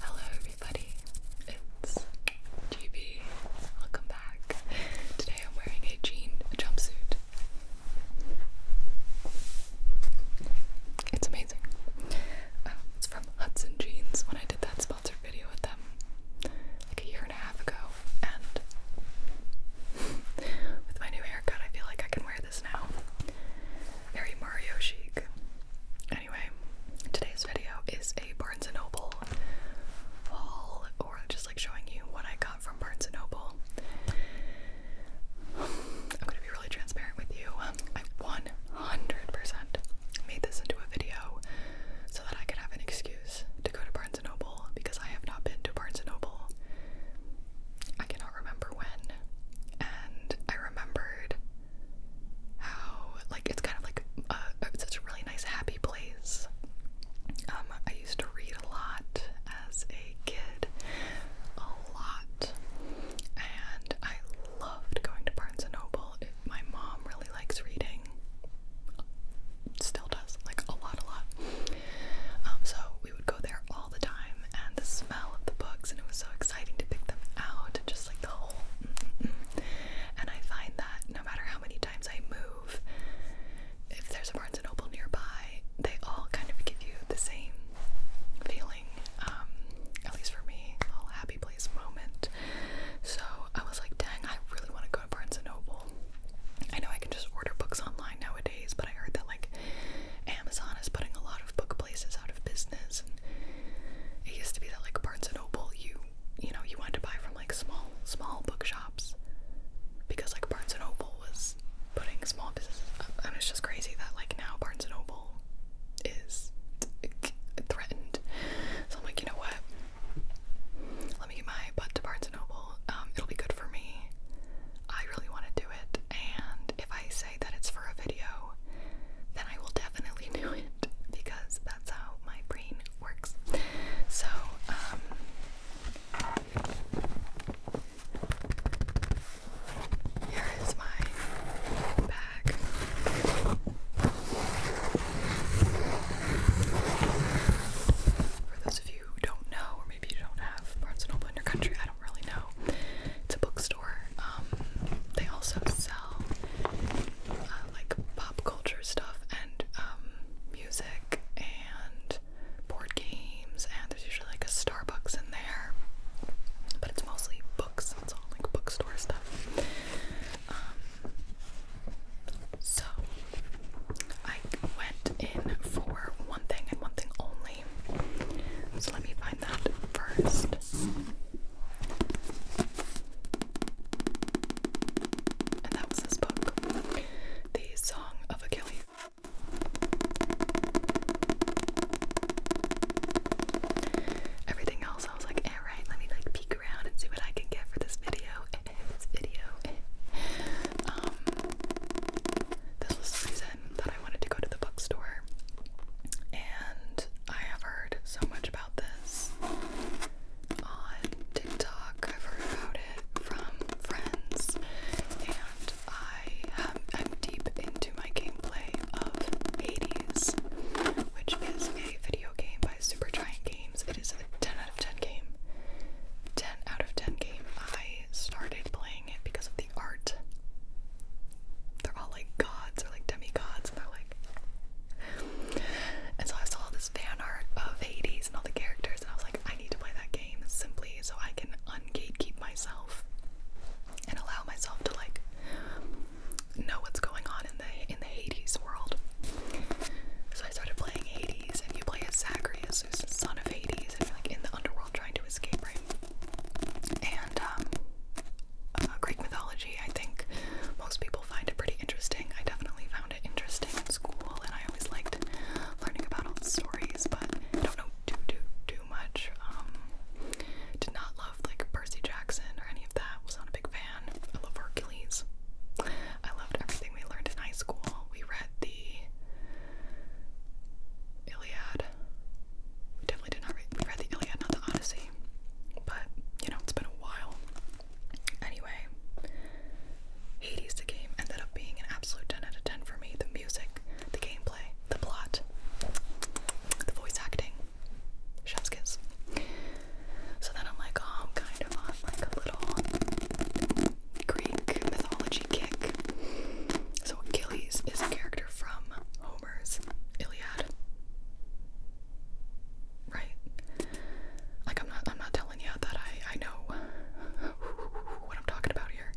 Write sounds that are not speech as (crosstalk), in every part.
Hello everybody, it's GB. Welcome back. Today I'm wearing a jean jumpsuit. It's amazing. Um, it's from Hudson Jeans when I did that sponsored video with them like a year and a half ago. And with my new haircut, I feel like I can wear this now. Mario chic. Anyway, today's video is a Barnes & Noble haul, or just like showing you what I got from Barnes & Noble. I'm gonna be really transparent with you. I 100 made this into a video so that I could have an excuse to go to Barnes & Noble because I have not been to Barnes & Noble. I cannot remember when, and I remembered how like it's kind of like a, it's such a really nice happy place. Um, I used to read a lot as a kid, a lot, and I loved going to Barnes and Noble. It, my mom really likes reading, still does like a lot, a lot. Um, so we would go there all the time, and the smell of the books, and it was so exciting exciting to pick them out, just like the whole. Mm-hmm. And I find that no matter how many times I move, if there's a Barnes and Noble nearby, they all kind of give you the same feeling. Um, at least for me, a happy place moment. So I was like, dang, I really want to go to Barnes and Noble. I know I can just order books online nowadays, but I heard that like Amazon is putting a lot of book places out of business and it used to be that like Barnes and Noble you you know you wanted to buy from like small small bookshops because like Barnes and Noble was putting small businesses up and it's just crazy that like now Barnes and Noble is threatened. So I'm like, you know what? Let me get my butt to Barnes and Noble. Um, it'll be good for me. I really want to do it, and if I say that it's for a video, then I will definitely (laughs) do it because that's how my brain works. So, um, here is my bag. For those of you who don't know, or maybe you don't have parts in all in your country, I don't really know. It's a bookstore. Um, they also sell uh, like pop culture stuff and um, music and board games. And there's usually like a Starbucks in there, but it's mostly books. It's all like bookstore stuff. Um, so I went in for one thing and one thing only. So let me find that first. And that was this book, The Song of Achilles. Everything else, I was like, all right, let me like peek around and see what I can get for this video. (laughs) (laughs) Um, this was the that I wanted to go to the bookstore, and I have heard so much about this on TikTok. I've heard about it from friends, and I am deep into my gameplay of Eighties, which is a video game by Super Giant Games. It is a 10 out of 10 game. 10 out of 10 game. I started playing it because of the art. They're all like gods or like demigods, and they're like. And so I saw all this fan art of Hades and all the characters, and I was like, I need to play that game simply so I can ungatekeep myself and allow myself to like know what's going on in the in the Hades world. So I started playing Hades, and you play as Zacharias, who's the son of Hades, and you're like in the underworld trying to escape, right? And um, uh, Greek mythology, I think most people find it pretty interesting. I definitely found it interesting in school, and I always liked learning about all the stories, but I don't know too, too, too much. Um, did not love, like, Percy Jackson or any of that. Was not a big fan. of Hercules. I loved everything we learned in high school. We read the Iliad we definitely did not read, the Iliad, not the Odyssey. But, you know, it's been a while. Anyway, Hades the game ended up being an absolute 10 out of 10 for me. The music, the gameplay, the plot, the voice acting. Chef's So then I'm like, oh, I'm kind of on like a little Greek mythology kick. So Achilles is a character from Iliad. Right? Like I'm not I'm not telling you that I I know (laughs) what I'm talking about here.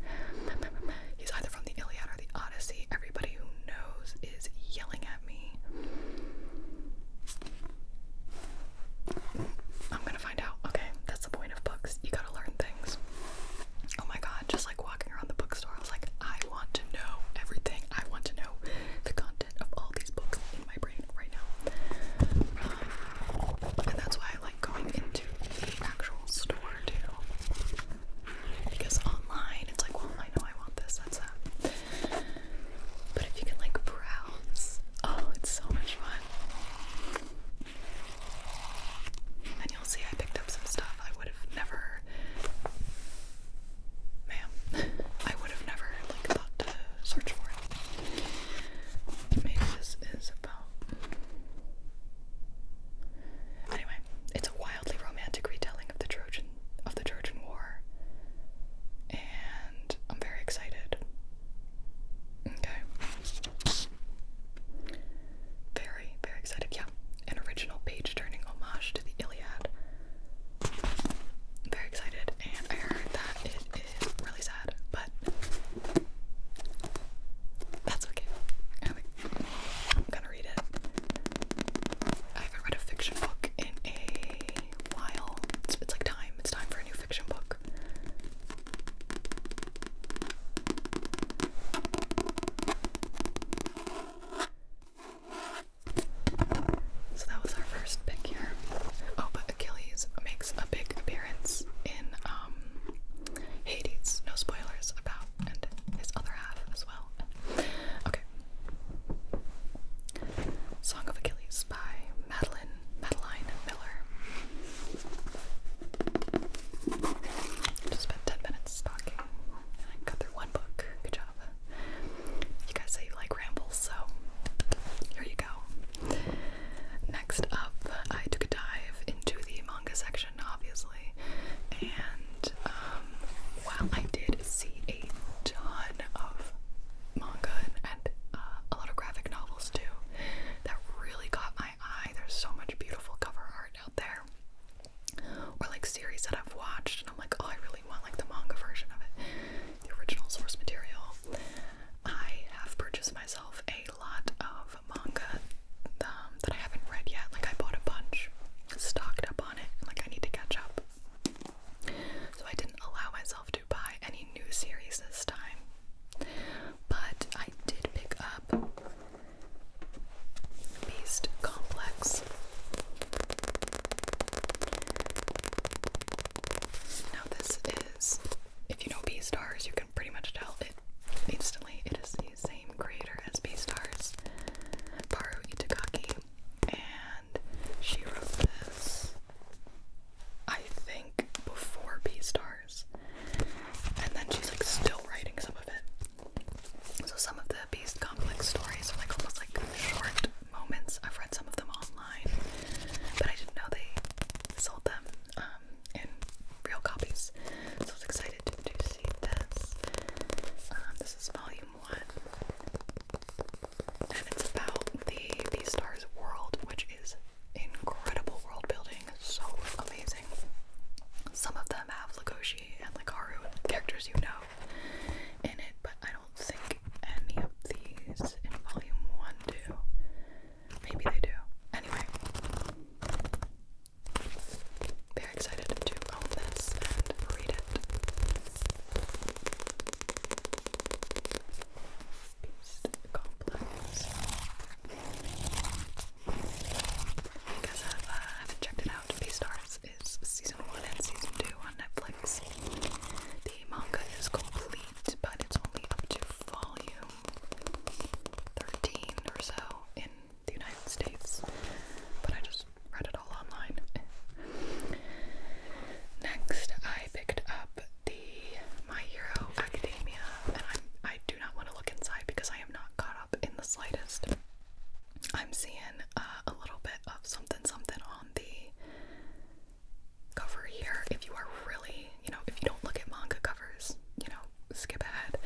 He's either from the Iliad or the Odyssey. Everybody who knows is yelling at me. I'm gonna find out. Okay, that's the point of books. You gotta learn things oh my god, just like walking around the bookstore, I was like, I want to know everything. I want to know the content of all these books in my brain right now. and that's why I like going into the actual store too. Because online, it's like, well, I know I want this, that's that. But if you can like browse, oh, it's so much fun. And you'll see I picked up some stuff I would never, ma'am, I would have never like thought to search for it. Maybe this is about. Anyway, it's a wildly romantic retelling of the Trojan of the Trojan War, and I'm very excited. Okay. Very, very excited. Yeah, an original page turning homage to the Iliad. Very excited, and I heard that it is really sad, but that's okay. I'm gonna read it. I haven't read a fiction book in a while. It's, it's like time. It's time for a new fiction book. So that was our first pick here. Oh, but Achilles makes a big appearance in um, Hades. No spoilers about, and his other half as well. Okay. Song of Achilles by Madeline Madeline Miller. Just spent ten minutes talking I got through one book. Good job. You guys say you like rambles, so here you go. Next up, I took a dive into the manga section, obviously, and um, while I did see a ton of manga and uh, a lot of graphic novels too, that really caught my eye. There's so much beautiful cover art out there or like series that I've watched and I'm like, oh, I really want like the manga version of it, the original source material. I have purchased myself a lot of manga um, that I haven't read yet. Like I bought a bunch, stocked up on it, like I need to catch up. So I didn't allow myself to buy any new series this time. But I did pick up Beast Complex. Now this is, if you know Beastars, you can pretty much tell it instantly. It is the same creator as Beastars, Paru Itakaki, and she wrote this, I think, before B Stars, and then she's like still writing some of it. So some of the Beast Complex stories are like almost like short moments. I've read some of them online, but I didn't know they sold them um, in real copies. So I was excited to, see this. Um, this is volume one, and it's about the Beastars world, which is incredible world building, so amazing. Some of them have Lagoshi and Lucario characters you know in it, but I don't think any of these in volume one do. Maybe they do. Anyway. Very excited to own this and read it. Beast complex. Because I've, not checked it out. Beastars is season 1 and season 2 on Netflix. The manga is complete, but it's only up to volume 13 or so in the United States. But I just read it all online. Next, I picked up the My Hero Academia, and I do not want to look inside because I am not caught up in the slightest. I'm seeing uh, a little bit of something something on the cover here. If you are really, you know, if you don't look at manga covers, you know, skip ahead.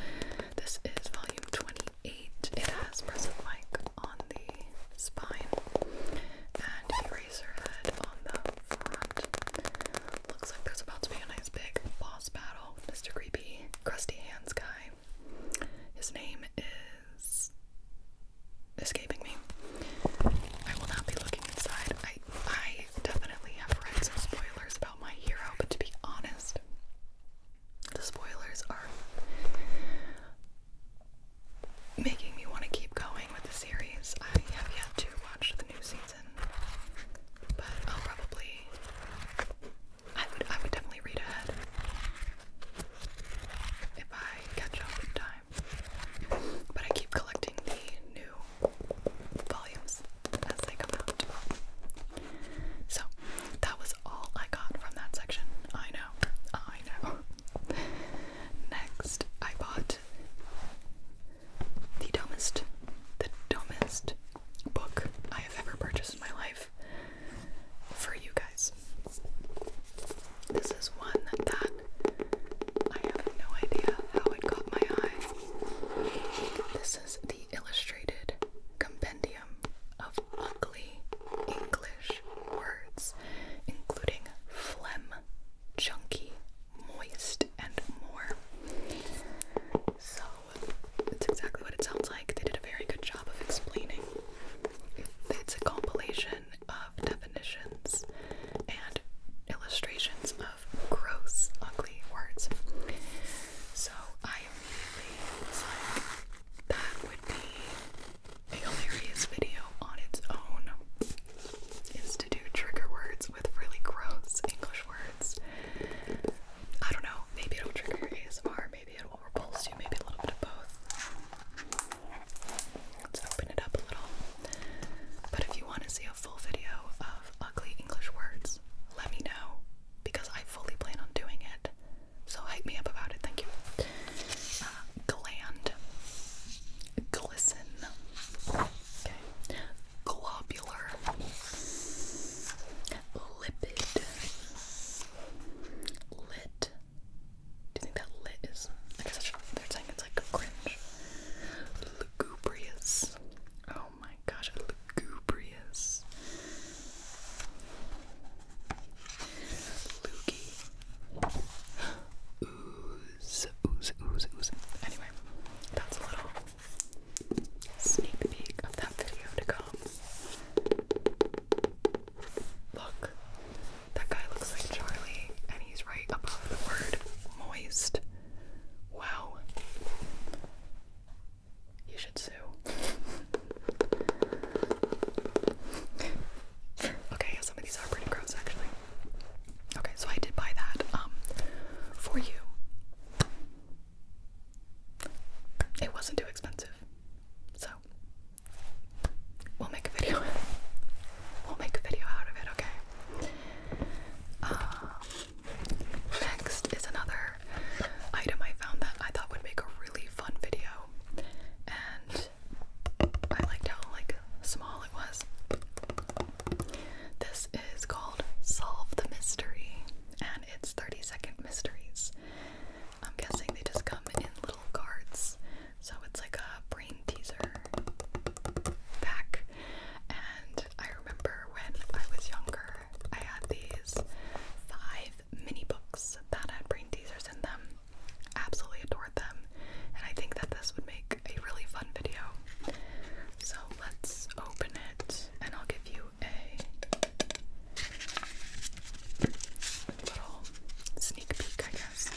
This is volume 28. It has present mic on the spine and eraser head on the front. Looks like there's about to be a nice big boss battle. Mr. Creepy, crusty hands guy his name is escaping me. I will not be looking inside. I I definitely have read some spoilers about my hero, but to be honest, the spoilers are making me want to keep going with the series. I have yet to watch the new season, but I'll probably I would I would definitely read ahead if I catch up in time. But I keep collecting the new volumes as they come out. So that was all I got from that section. I know. I know. (laughs) Next I bought the dumbest the dumbest book I have ever purchased in my life for you guys. This is one that I have no idea how it caught my eye. This is the illustrated compendium of ugly English words, including phlegm, chunky, moist, and more. So that's exactly what it sounds like. They did a very good job of explaining. It's a compilation of definitions and illustrations of gross, ugly words. So I immediately was that would be a hilarious video on its own, is to do trigger words with really gross English words I don't know, maybe it'll trigger your ASMR, maybe it will repulse you, maybe a little bit of both. Let's open it up a little. But if you want to see a full video of ugly English words, let me know because I fully plan on doing it. So hype me up about it, thank you. Uh, gland, glisten, okay, globular, Lipid. Lit. Do you think that lit is? I guess they're it's like cringe. Lugubrious. Oh my gosh, lugubrious. Loogie. (gasps) Ooze, ooze, ooze, ooze. Anyway, that's a little sneak peek of that video to come. Look, that guy looks like Charlie, and he's right above the word moist. Wow. You should sue. okay, some of these are pretty gross actually. Okay, so I did buy that um for you. It wasn't too expensive. So we'll make a video. (laughs) we'll make a video out of it, okay? Um, next is another item I found that I thought would make a really fun video. And I liked how like small it was. This is called Solve the Mystery. And it's 30 second mysteries. I'm guessing they just come in little cards. So it's like a brain teaser pack. And I remember when I was younger, I had these five mini books that had brain teasers in them. Absolutely adored them. And I think that this would make a really fun video. So let's open it and I'll give you a little sneak peek, I guess.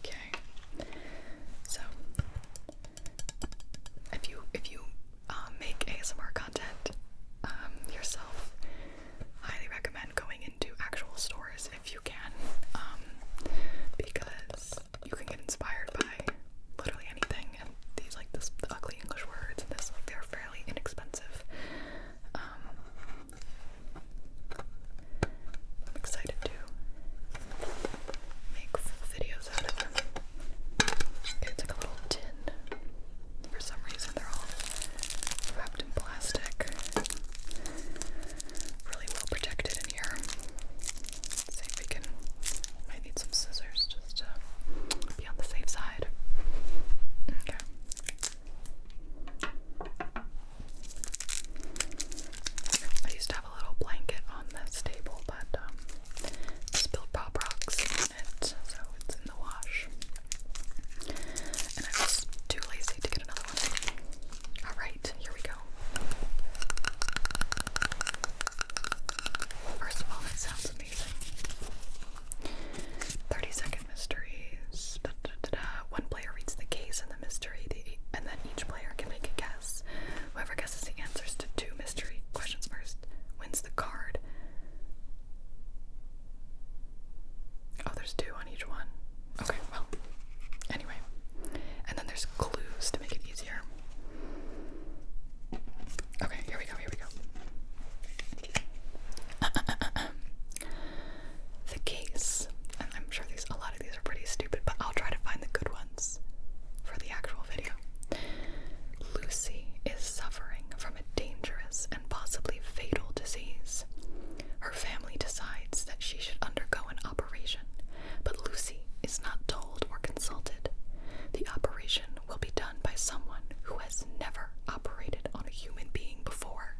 Okay. So if you if you uh, make ASMR content um, yourself, highly recommend going into actual stores if you can, um, because you can get inspired by literally anything. And these like the ugly English words and this they're fairly inexpensive. Um, I'm excited to make full videos out of them. It's like a little tin. For some reason, they're all wrapped in plastic. Really well protected in here let see if we can. Might need some scissors just to be on the safe side. Okay. I used to have a little blanket on this table, but um, spilled pop rocks in it, so it's in the wash. And I was too lazy to get another one. Alright, here we go. First of all, it sounds amazing. 30 second mysteries. Da, One player reads the case and the mystery, and then each player can make a guess. Whoever guesses the answers to two mystery questions first wins the card. Oh, there's two on each one. Okay, well, anyway. And then there's clues to make it easier. Okay, here we go, here we go. (laughs) The case, and I'm sure these a lot of these are pretty stupid, but I'll try to find the good ones for the actual video. Lucy is suffering from a dangerous and possibly fatal disease. Her family decides that she should undergo an operation, but Lucy is not told or consulted. The operation will be done by someone who has never operated on a human being before.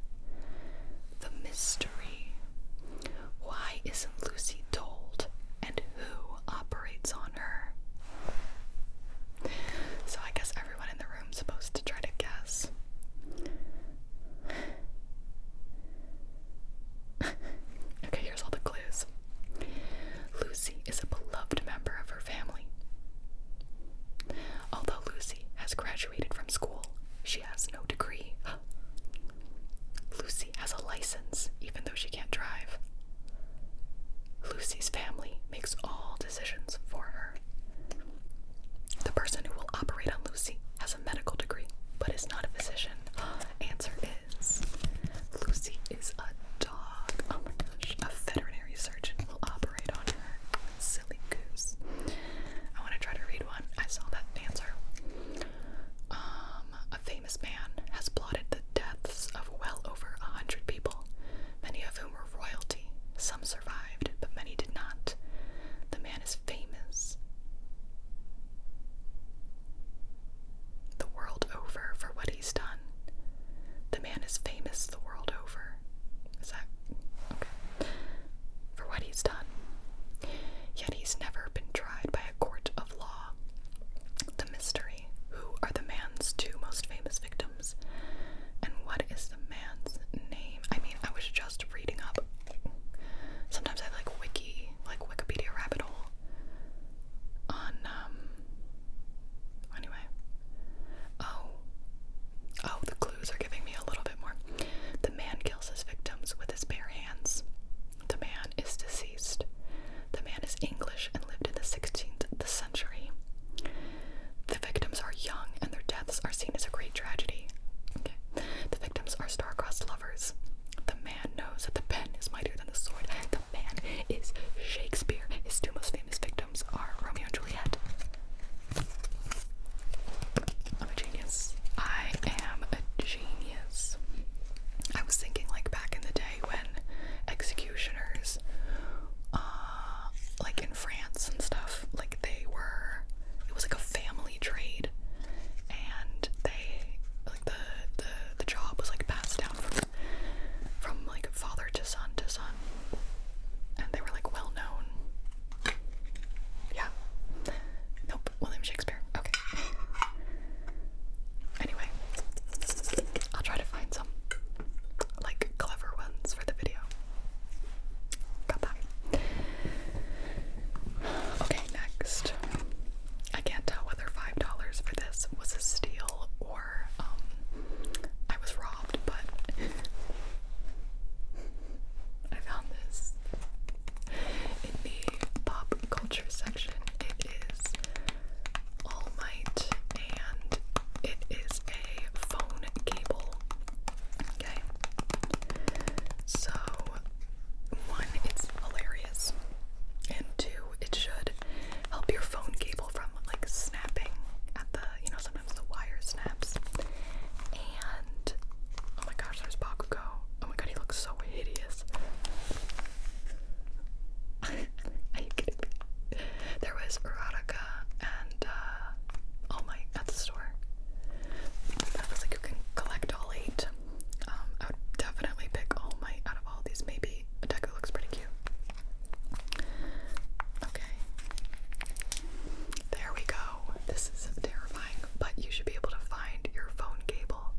The mystery. Why isn't Lucy told and who operates on her? So I guess everyone in the room's supposed to try to guess. (laughs) okay, here's all the clues. Lucy is a beloved member of her family. Although Lucy has graduated from school, she has no degree. (gasps) Lucy has a license, even though she can't drive. Lucy's family makes all decisions for her. The person who will operate on Lucy has a medical degree, but is not a physician. (gasps) Answer Lucy is a dog. Oh my gosh. A veterinary surgeon will operate on her. Silly goose. I want to try to read one. I saw that answer. Um, a famous man has plotted the deaths of well over a hundred people, many of whom were royalty. Some survived, but many did not. The man is famous the world over for what he's done. The man is famous the world over. Is that okay? For what he's done. Yet he's never been tried by a court of law. The mystery who are the man's two most famous victims? And what is the man's name? I mean, I was just reading up. Sometimes I like wiki, like Wikipedia rabbit hole on um anyway. Oh. Oh, the clues are giving me a little bit more. The man kills his victims with his bare hands. The man is deceased. The man is English and lived in the 16th century. The victims are young and their deaths are seen as a great tragedy. Okay. The victims are star-crossed lovers. The man knows that the pen is mightier than the sword. The man is Shakespeare. His two most famous victims are Romeo and Juliet. I'm a genius. I am a genius. I was thinking, like, back in the day when executioners, uh, like in France and stuff, like, they were, it was like a family trade. And they, the the the job was like passed down from from like father to son to son, and they were like well known. Yeah. Nope. William Shakespeare. Okay. Anyway, I'll try to find some like clever ones for the video. Got that. Okay, next. I can't tell five dollars for this was a steal or um, I was robbed, but (laughs) I found this in the pop culture section. It is All Might, and it is a phone cable. Okay, so one, it's hilarious, and two, it should help your phone cable from like snapping at the, you know, sometimes the wire snaps. And oh my gosh, there's Bakugo. Oh my god, he looks so hideous. (laughs) There was erotica and all uh, oh my at the store. That was like you can collect all eight. Um, I would definitely pick All my out of all these. Maybe Deku looks pretty cute. Okay. There we go. This is terrifying, but you should be able to find your phone cable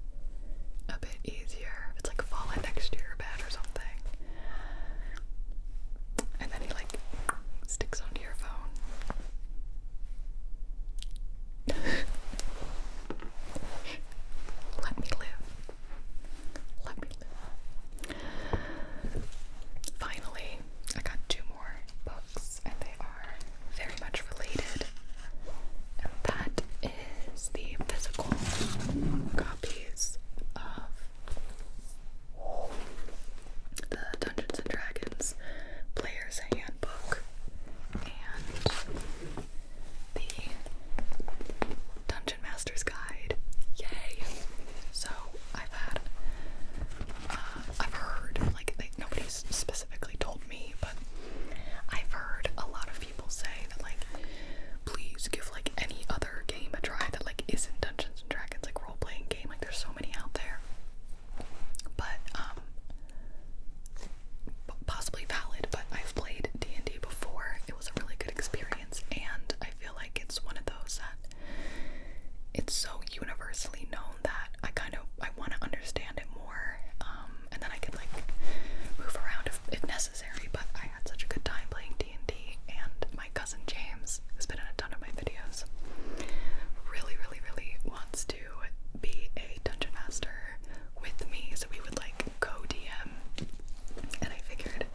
a bit easier. It's like fallen next to your bed or something. And then he like sticks onto your phone. Let me live. Let me live. Finally, I got two more books, and they are very much related. And that is the physical copies of the Dungeons and Dragons Player's Handbook and the Dungeon Master's Guide. Yay! So I've had, uh, I've heard, like, nobody's specifically told me, but I've heard a lot of people say that, like, please give, like, any other game a try that, like, isn't Dungeons and Dragons, like, role playing game. Like, there's so many out there. But, um, possibly valid, but I've played D&D before. It was a really good experience and I feel like it's one of those that it's so universally known that I kind of I want to understand it more um, and then I could like move around if, if necessary, but I had such a good time playing D&D and my cousin James has been in a ton of my videos. Really, really, really wants to be a dungeon master with me, so we would like go DM, and I figured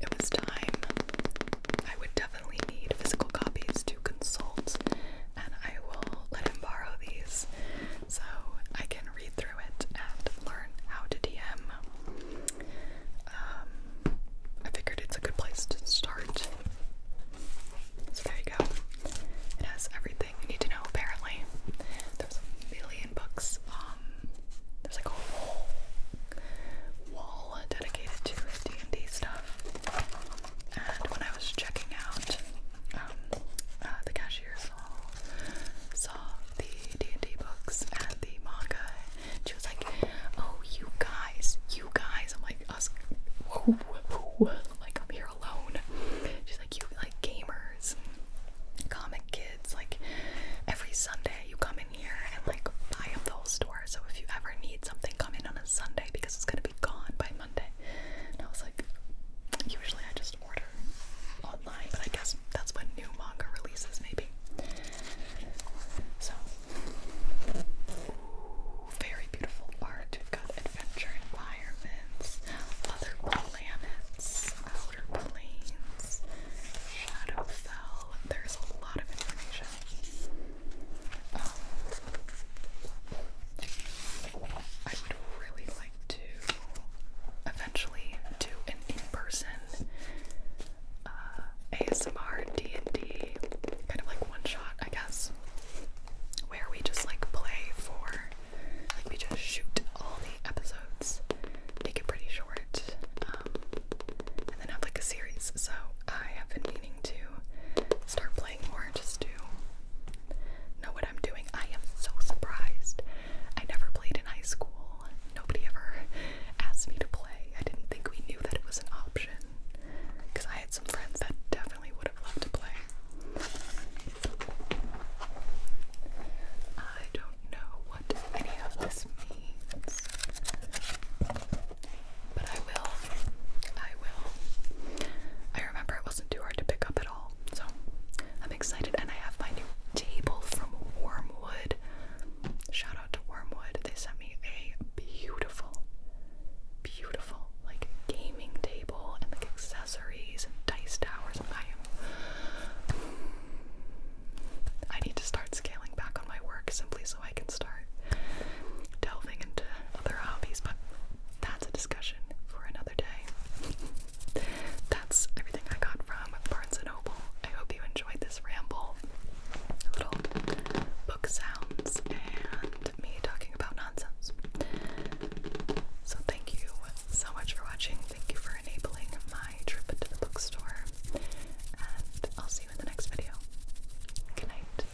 it was time. I would definitely need physical copies to consult, and I will let him borrow these so I can read through it and learn how to DM. Um, I figured it's a good place to start. So there you go. It has everything you need to know, apparently there's a million books. Um, there's like a whole wall dedicated to D and D stuff. And when I was checking out, um, uh, the cashier saw saw the D and D books and the manga. And she was like, "Oh, you guys, you guys!" I'm like, "Us, who, who?" I'm like, "I'm here alone. She's like, you like gamers, comic kids, like every Sunday you come in here and like buy up the whole store. So if you ever need something, come in on a Sunday because it's gonna be gone by Monday. And I was like, usually I just order online, but I guess that's when new manga releases maybe. So ooh, very beautiful art. We've got an adventure environments, other planets, outer planes, Shadowfell. There's a lot of information. Um, I would really like to eventually do an in-person uh, ASMR D&D kind of like one shot, I guess, where we just like play for like we just shoot all the episodes, make it pretty short, um, and then have like a series. So I have been meaning to start playing more just to know what I'm doing. I am so surprised. I never played in high school. Nobody ever (laughs) asked me to play. I didn't think we knew that it was an option because I had some friends that definitely would would have to play. I don't know what any of this means, but I will. I will. I remember it wasn't too hard to pick up at all, so I'm excited. And I have my new table from Wormwood. Shout out to Wormwood. They sent me a beautiful, beautiful like gaming table and like accessories dice towers. I need to start scaling back on my work simply so I can start delving into other hobbies, but that's a discussion for another day. That's everything I got from Barnes & Noble. I hope you enjoyed this ramble, little book sounds, and me talking about so, thank you so much for watching. Thank you for enabling my trip to the bookstore. And I'll see you in the next video. Good night.